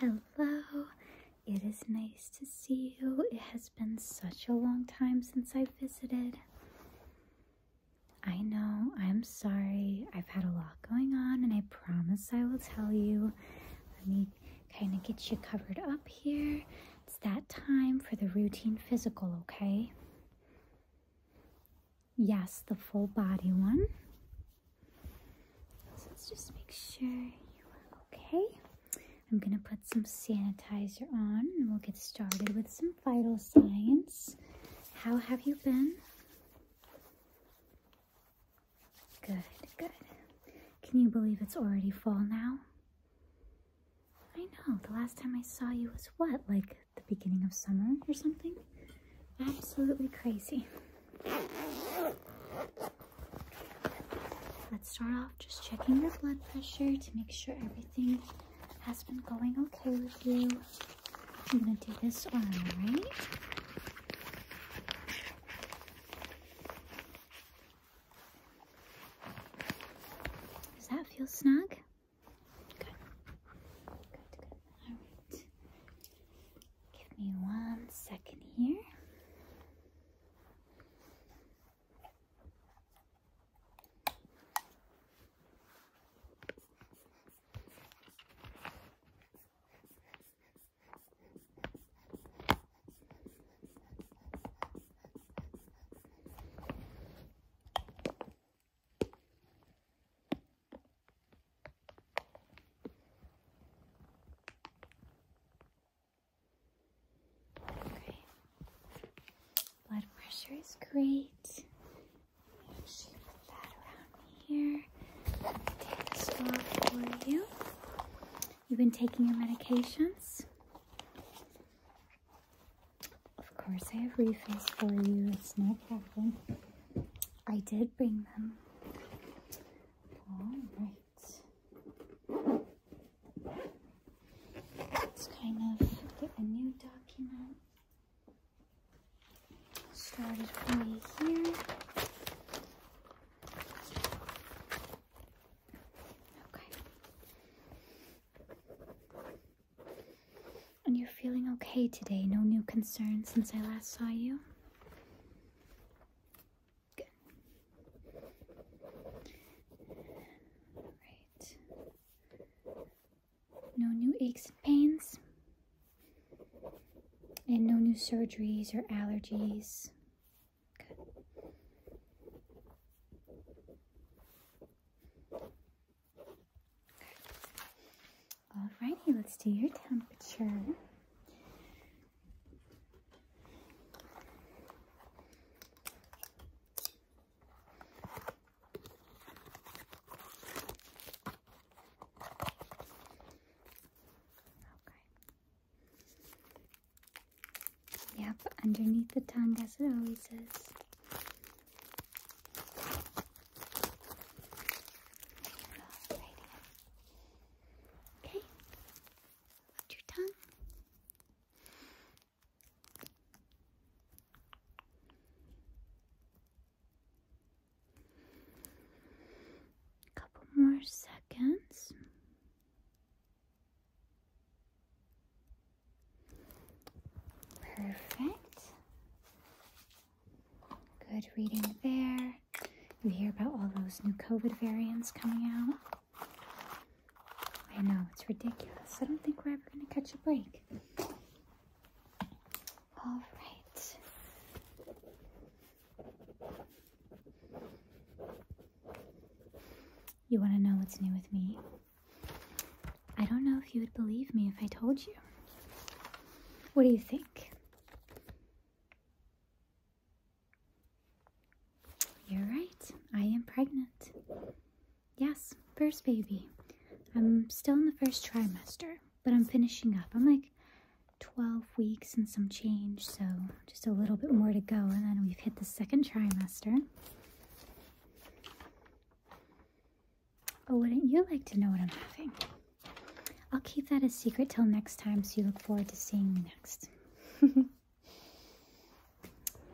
Hello, it is nice to see you. It has been such a long time since I visited. I know, I'm sorry. I've had a lot going on, and I promise I will tell you. Let me kind of get you covered up here. It's that time for the routine physical, okay? Yes, the full body one. let's just make sure you are okay. I'm going to put some sanitizer on and we'll get started with some vital signs. How have you been? Good, good. Can you believe it's already fall now? I know, the last time I saw you was what, like the beginning of summer or something? absolutely crazy. Let's start off just checking your blood pressure to make sure everything has been going okay with you. I'm gonna do this arm, right? Does that feel snug? Good. Good, good. Alright. Give me one second here. Blood pressure is great. put that around here. Take this off for you. You've been taking your medications. Of course, I have refills for you. It's no problem. I did bring them. All right. Let's kind of get a new document started for me here. Okay. And you're feeling okay today? No new concerns since I last saw you? Good. Right. No new aches and pains? And no new surgeries or allergies? Good. Alrighty, let's do your temperature. Okay. Yep, underneath the tongue as it always is. Okay. Put your tongue. Couple more seconds. Perfect. Good reading there. You hear about all those new COVID variants coming out. I know, it's ridiculous. I don't think we're ever going to catch a break. All right. You want to know what's new with me? I don't know if you would believe me if I told you. What do you think? You're right. I am pregnant. Yes, first baby. I'm still in the first trimester, but I'm finishing up. I'm like 12 weeks and some change, so just a little bit more to go, and then we've hit the second trimester. But oh, wouldn't you like to know what I'm having? I'll keep that a secret till next time so you look forward to seeing me next. you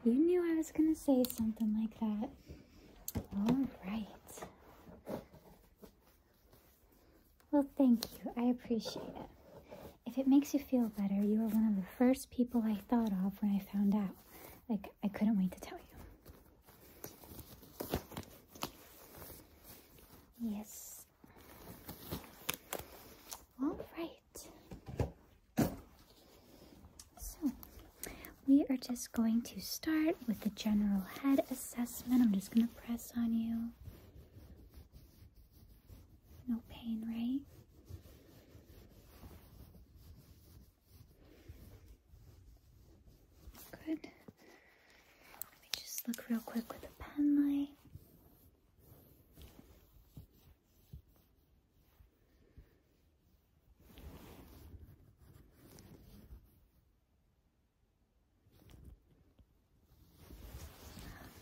knew I was going to say something like that. All right. Well, thank you. I appreciate it. If it makes you feel better, you were one of the first people I thought of when I found out. Like, I couldn't wait to tell you. Yes. All right. So, we are just going to start with the general head assessment. I'm just going to press on you. No pain, right? Good. Let me just look real quick with a pen light.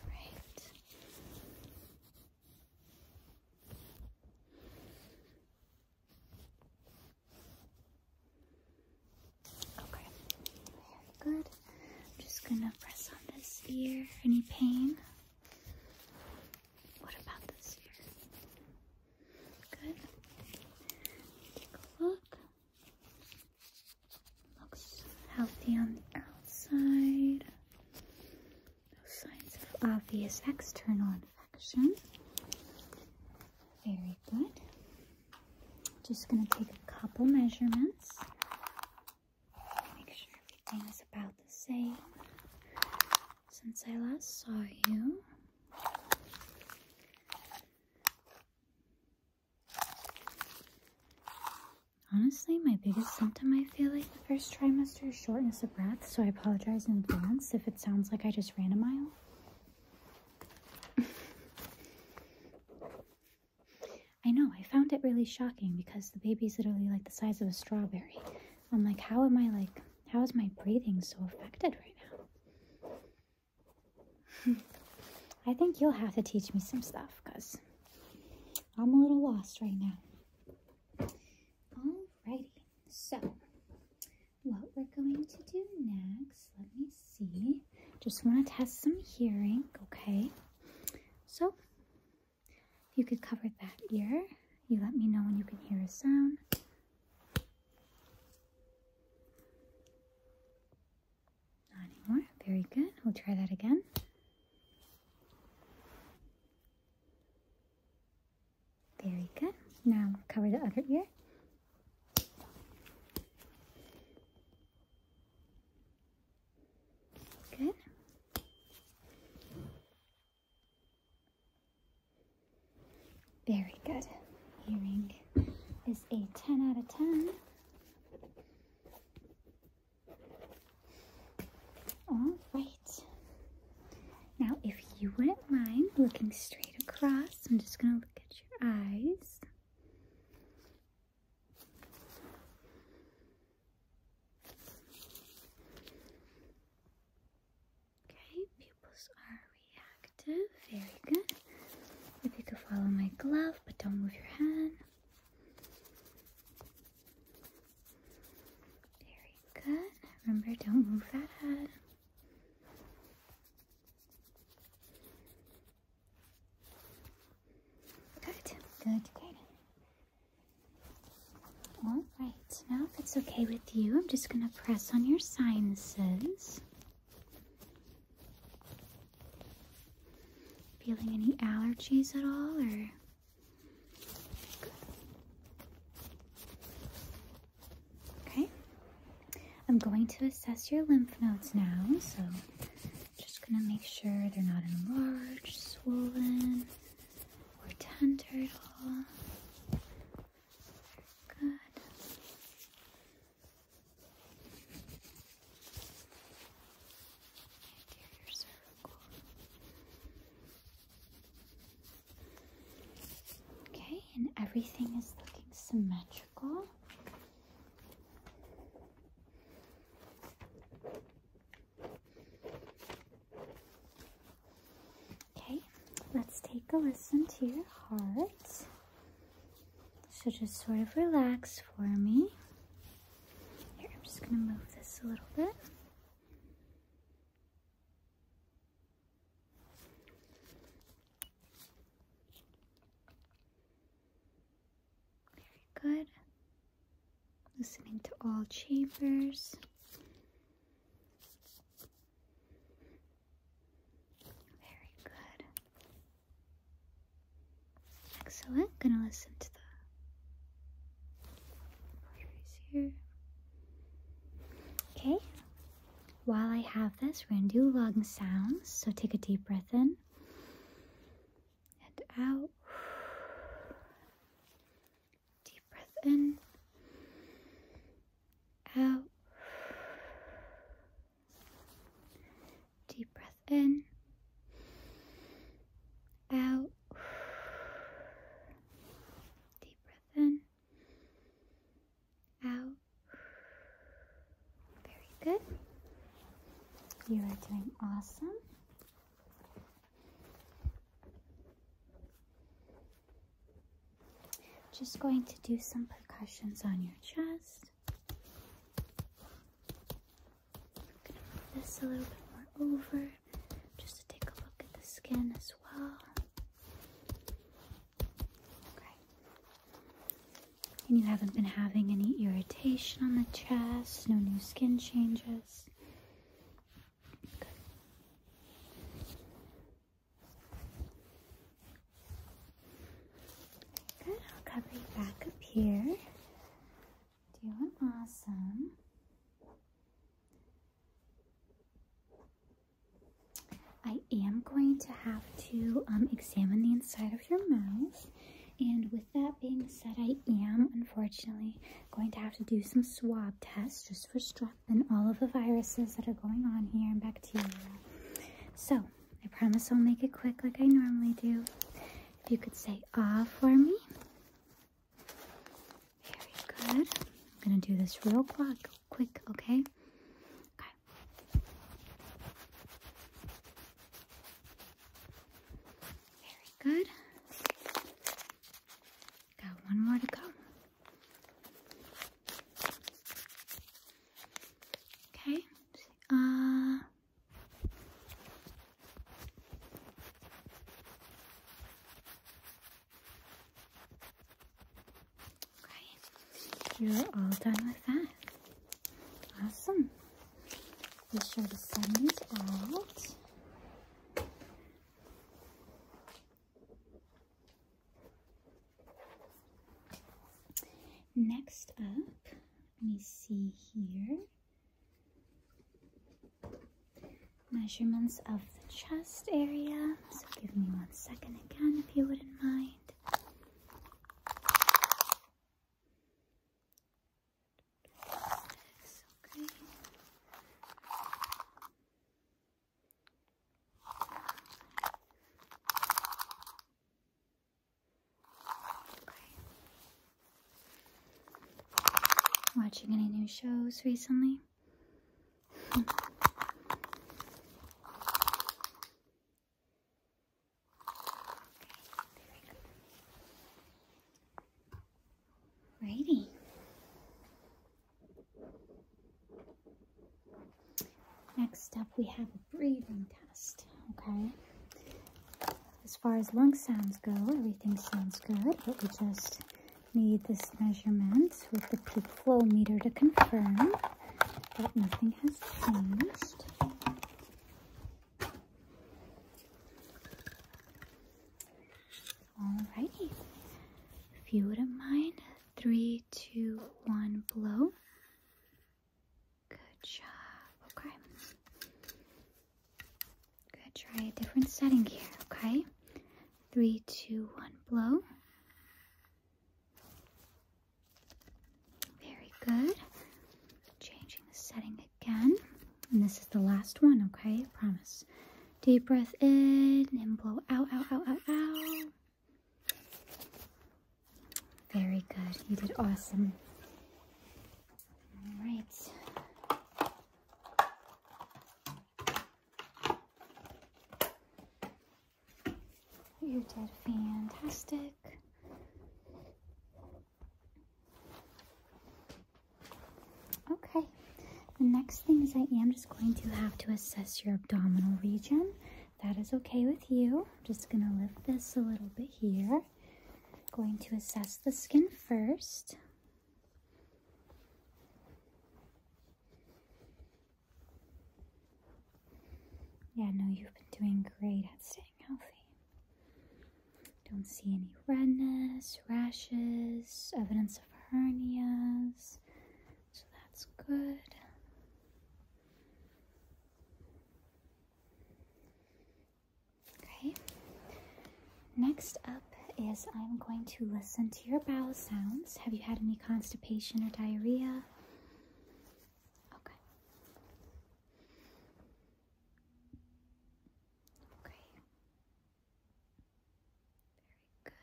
All right. Okay, very good. I'm just gonna press on this ear. Any pain? What about this ear? Good. Take a look. Looks healthy on the outside. No signs of obvious external infection. Very good. Just going to take a couple measurements. Make sure everything is about the same since I last saw you. Honestly, my biggest symptom I feel like First trimester shortness of breath, so I apologize in advance if it sounds like I just ran a mile. I know, I found it really shocking because the baby's literally like the size of a strawberry. I'm like, how am I like, how is my breathing so affected right now? I think you'll have to teach me some stuff because I'm a little lost right now. Alrighty, so what we're going to do next, let me see. Just want to test some hearing, okay? So you could cover that ear, you let me know when you can hear a sound. Not anymore. Very good. We'll try that again. Very good. Now cover the other ear. Good. Very good. Hearing is a 10 out of 10. All right. Now, if you wouldn't mind looking straight across, I'm just going to look at your eyes. Okay, pupils are reactive. Very good. If you could follow my glove, but don't move your hand. Very good. Remember, don't move that head. Good, good, good. All right, now if it's okay with you, I'm just going to press on your sinuses. Feeling any allergies at all, or? Okay. I'm going to assess your lymph nodes now, so just gonna make sure they're not enlarged, swollen, or tender at all. Good. Okay, and everything is looking symmetrical. Okay, let's take a listen to your heart. So just sort of relax for me. I'm just going to move this a little bit. Very good. Listening to all chambers. Very good. So I'm gonna listen to the voice here. Okay. While I have this, we're gonna do lung sounds. So take a deep breath in and out. Deep breath in. Out. Deep breath in out. Deep breath in. Out. Very good. You are doing awesome. Just going to do some percussions on your chest. Move this a little bit more over just to take a look at the skin as well. Okay. And you haven't been having any irritation on the chest, no new skin changes. Good. Good. i back up here. Doing awesome. I am going to have to um, examine the inside of your mouth. And with that being said, I am unfortunately going to have to do some swab tests just for strep and all of the viruses that are going on here and bacteria. So I promise I'll make it quick like I normally do you could say ah for me. Very good. I'm gonna do this real quick, quick, okay? Very good. Got one more to go. Okay. ah you're all done with that. Awesome. Be sure to send these out. Next up, let me see here. Measurements of the chest area. So give me one second again if you wouldn't mind. Watching any new shows recently? Ready. Next up, we have breathing test, okay? As far as lung sounds go, everything sounds good, but we just need this measurement with the peak flow meter to confirm that nothing has changed. All righty. if you wouldn't mind, three, two, one, blow. Good job. Okay. Good. Try a different setting here. Okay. Three, two, one. Blow. Very good. Changing the setting again. And this is the last one. Okay. I promise. Deep breath in and blow out, out, out, out, out. Very good. You did awesome. All right. You did fantastic. Okay, the next thing is I am just going to have to assess your abdominal region that is okay with you. I'm just going to lift this a little bit here. Going to assess the skin first. Yeah, no, you've been doing great at staying healthy. Don't see any redness, rashes, evidence of hernias. So that's good. Okay. Next up is I'm going to listen to your bowel sounds. Have you had any constipation or diarrhea? Okay. Okay. Very good.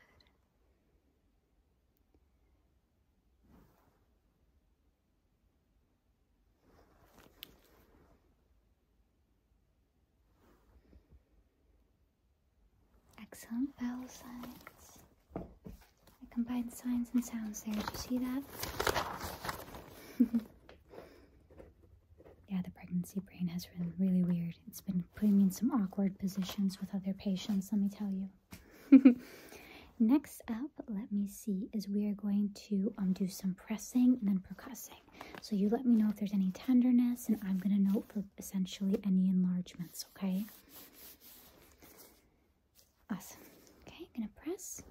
Excellent vowel signs. I combined signs and sounds there. Do you see that? yeah, the pregnancy brain has been really weird. It's been putting me in some awkward positions with other patients, let me tell you. Next up, let me see, is we are going to um, do some pressing and then percussing. So you let me know if there's any tenderness, and I'm going to note for essentially any enlargements, okay? Awesome. Okay, I'm going to press.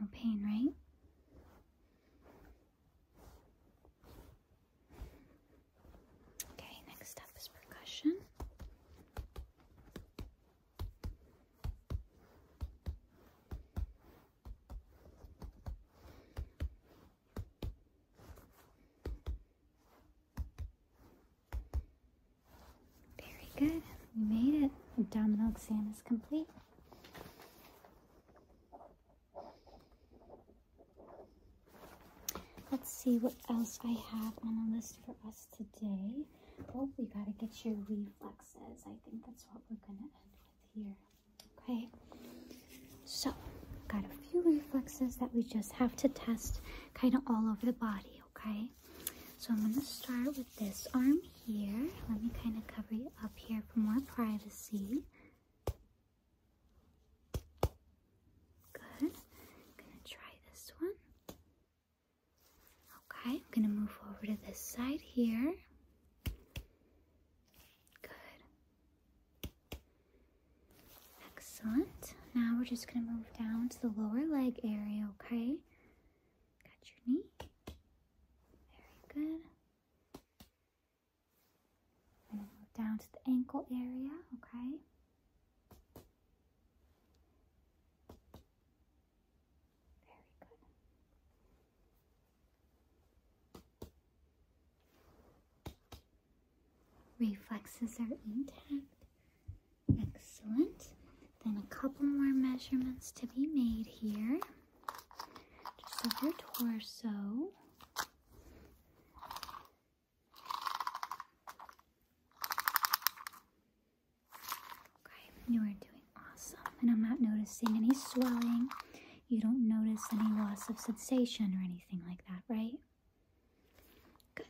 No pain, right? Okay, next up is percussion. Very good. We made it. Abdominal exam is complete. Let's see what else I have on the list for us today. Oh, we gotta get your reflexes. I think that's what we're gonna end with here. Okay, so got a few reflexes that we just have to test kind of all over the body, okay? So I'm gonna start with this arm here. Let me kind of cover you up here for more privacy. Good. I'm gonna try this one. Okay, I'm gonna move over to this side here. Good. Excellent. Now we're just gonna move down to the lower leg area, okay? Got your knee. Very good. I'm going to go down to the ankle area, okay? Very good. Reflexes are intact. Excellent. Then a couple more measurements to be made here. Just of your torso. Okay, you are doing awesome, and I'm not noticing any swelling. You don't notice any loss of sensation or anything like that, right? Good.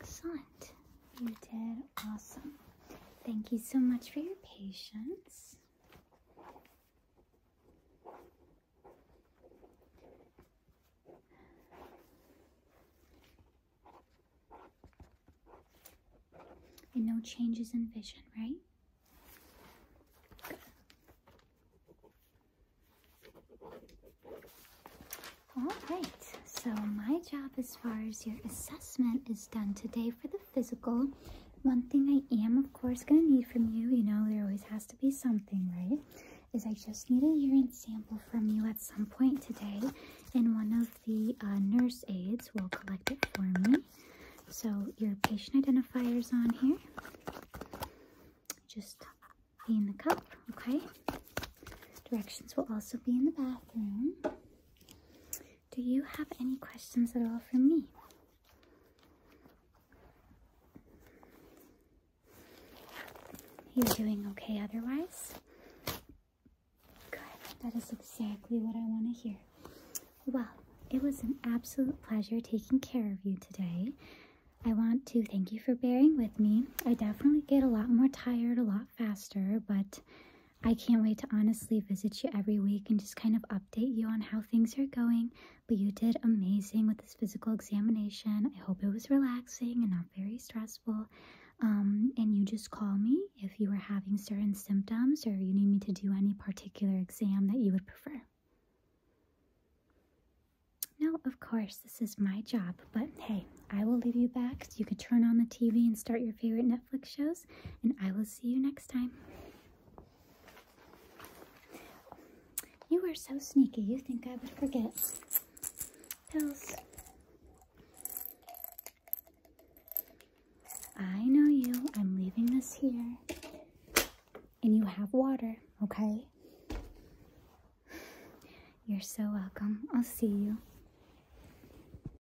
Excellent. You did awesome. Thank you so much for your patience. And no changes in vision, right? All right, so my job as far as your assessment is done today for the physical, one thing I am, of course, going to need from you, you know, there always has to be something, right? Is I just need a urine sample from you at some point today, and one of the uh, nurse aides will collect it for me. So your patient identifier's on here. Just be in the cup, okay? Directions will also be in the bathroom. Do you have any questions at all for me? you doing okay otherwise? Good. That is exactly what I want to hear. Well, it was an absolute pleasure taking care of you today. I want to thank you for bearing with me. I definitely get a lot more tired a lot faster, but I can't wait to honestly visit you every week and just kind of update you on how things are going. But you did amazing with this physical examination. I hope it was relaxing and not very stressful. Um, and you just call me if you are having certain symptoms or you need me to do any particular exam that you would prefer. No, of course, this is my job, but hey, I will leave you back so you can turn on the TV and start your favorite Netflix shows and I will see you next time. You are so sneaky, you think I would forget. Pills. I know you. I'm leaving this here. And you have water, okay? You're so welcome. I'll see you.